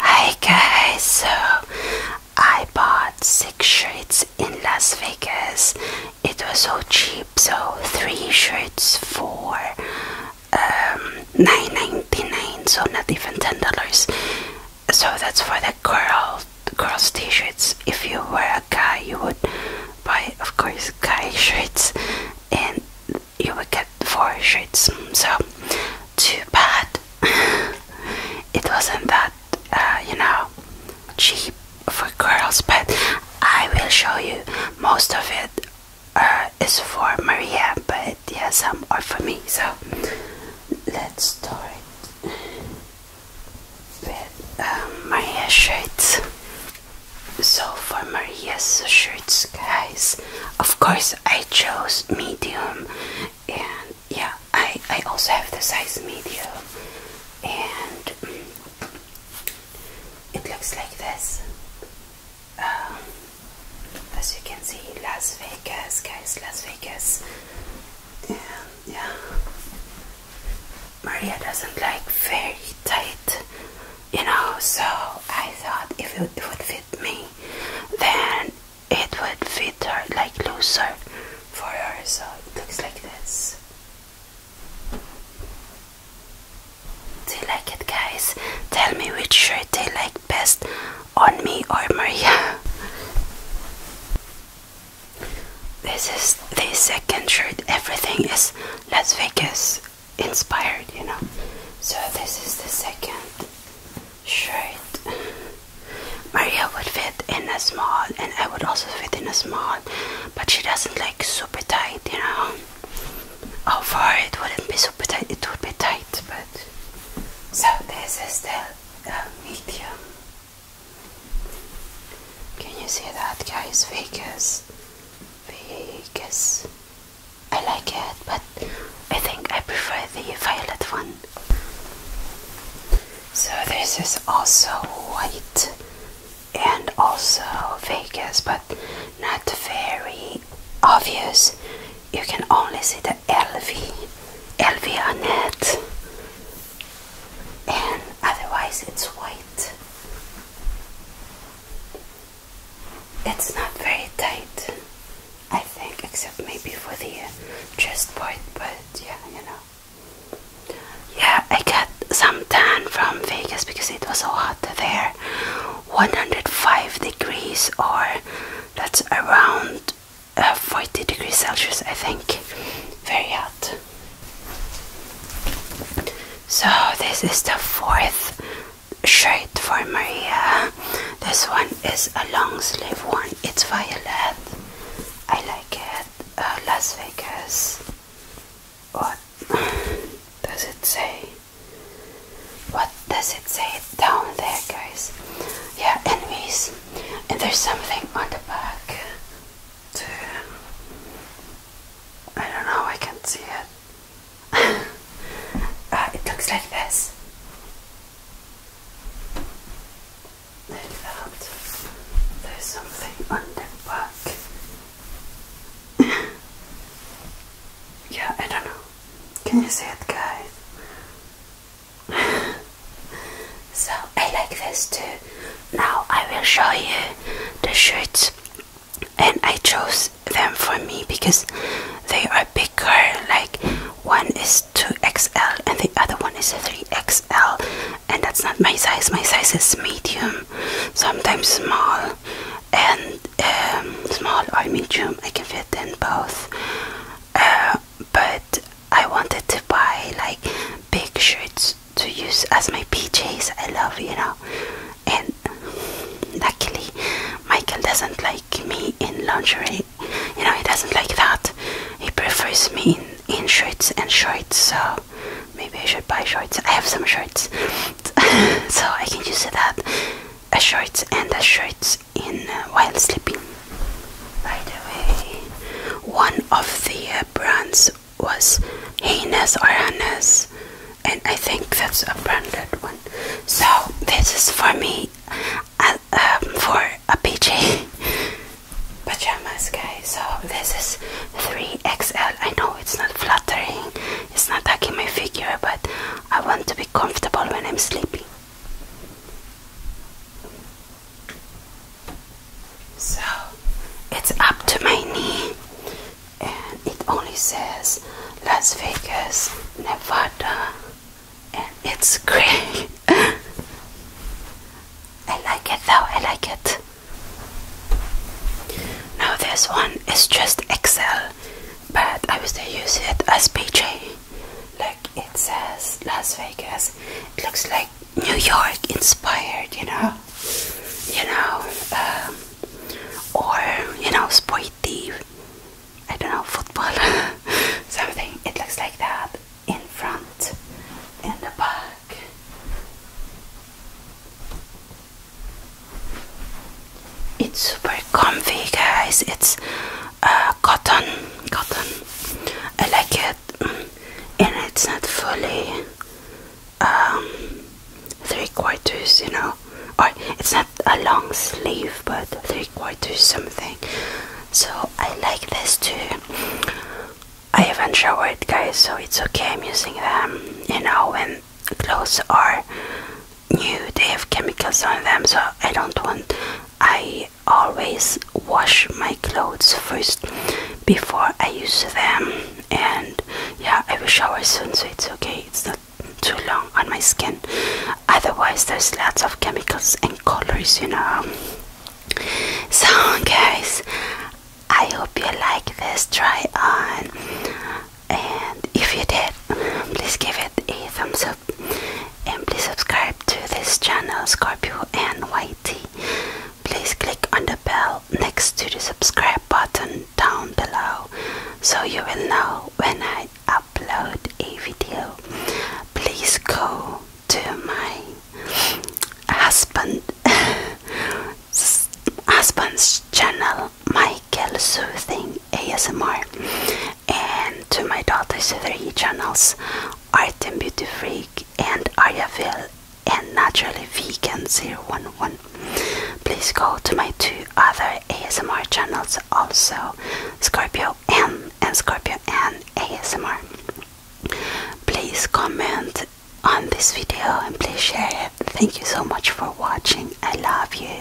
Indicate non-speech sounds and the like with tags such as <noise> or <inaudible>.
Hi guys, so I bought six shirts in Las Vegas. It was so cheap, so three shirts for um, nine ninety nine, so not even ten dollars. So that's for the girl girls' t-shirts. If you were a guy, you would buy, of course, guy <laughs> shirts, and you would get four shoots. So too bad. <laughs> it wasn't that uh, you know cheap for girls, but I will show you most of it uh, is for Maria, but yeah, some are for me. So let's start with um, Maria's shirts. So for Maria's shirts, guys, of course I chose medium and yeah I, I also have the size medium and it looks like this um, as you can see Las Vegas guys Las Vegas and yeah Maria doesn't like very tight you know so I thought if it would fit me, then it would fit her like looser for her. So it looks like this. Do you like it, guys? Tell me which shirt they like best on me or Maria. <laughs> This is the second shirt. Everything is Las Vegas inspired, you know. So this is the second shirt. Maria would fit in a small, and I would also fit in a small, but she doesn't like super tight, you know. Oh, for it wouldn't be super tight, it would be tight, but so this is the uh, medium. Can you see that, guys? Vegas, Vegas, I like it, but I think I prefer the violet one. So this is also white and also Vegas, but not very obvious. You can only see the LV, LV on it, and otherwise it's white. It's not very tight, I think, except maybe for the uh, chest part, but yeah, you know. Yeah, I got some tan from Vegas because it was so hot there. 105 degrees, or that's around uh, 40 degrees Celsius, I think. Very hot. So this is the fourth shirt for Maria. This one is a long sleeve one. It's violet. I like it. Uh, Las Vegas. What <sighs> does it say? What does it say down there, guys? Yeah, anyways, and there's something on the back. I don't know, I can't see it. <laughs> Uh, it looks like this. Like that. There's something under the back. <laughs> yeah, I don't know. Can you see it, guys? <laughs> so I like this too. Now I will show you the shirts and I chose them for me because they are bigger like one is 2XL and the other one is 3XL and that's not my size my size is medium sometimes small and um, small or medium I can fit in both uh, but I wanted to buy like big shirts to use as my PJs. I love, you know. And luckily, Michael doesn't like me in lingerie. You know, he doesn't like that. He prefers me in, in shirts and shorts. So maybe I should buy shorts. I have some shorts, <laughs> so I can use that a shorts and a shirts in uh, while sleeping. By the way, one of the uh, brands was Heinous or Hannes, and I think that's a branded one. So this is for me, uh, um, for a PJ <laughs> pajamas, guys. So this is 3XL. I know it's not flattering, it's not hugging my figure, but I want to be comfortable when I'm sleeping. So it's up to my knee, and it only says Las Vegas, Nevada, and it's <laughs> gray. I like it though, I like it. Now, this one is just Excel, but I used to use it as PJ. Like it says Las Vegas, it looks like New York inspired, you know, you know, um, or you know, sporty, I don't know, football, <laughs> something. It looks like that in front, in the back. It's super comfy, guys. It's uh, cotton, cotton. I like it and it's not fully um, three quarters, you know, or it's not a long sleeve, but three quarters something. So I like this too. I haven't showered, guys, so it's okay. I'm using them, you know, when clothes are new, they have chemicals on them, so I don't want. I always wash my clothes first before I use them and yeah I will shower soon so it's okay it's not too long on my skin otherwise there's lots of chemicals and colors you know so guys I hope you like this try on and if you did please give it a thumbs up and please subscribe to this channel Scorpio and White. Please click on the bell next to the subscribe button down below so you will know when I upload a video. Please go to my husband <laughs> husband's channel Michael Soothing ASMR and to my daughters' three channels, Art and Beauty Freak and Ariaville and Naturally Vegan 011. Please go to my two other ASMR channels also, Scorpio M and Scorpio N ASMR. Please comment on this video and please share it. Thank you so much for watching. I love you.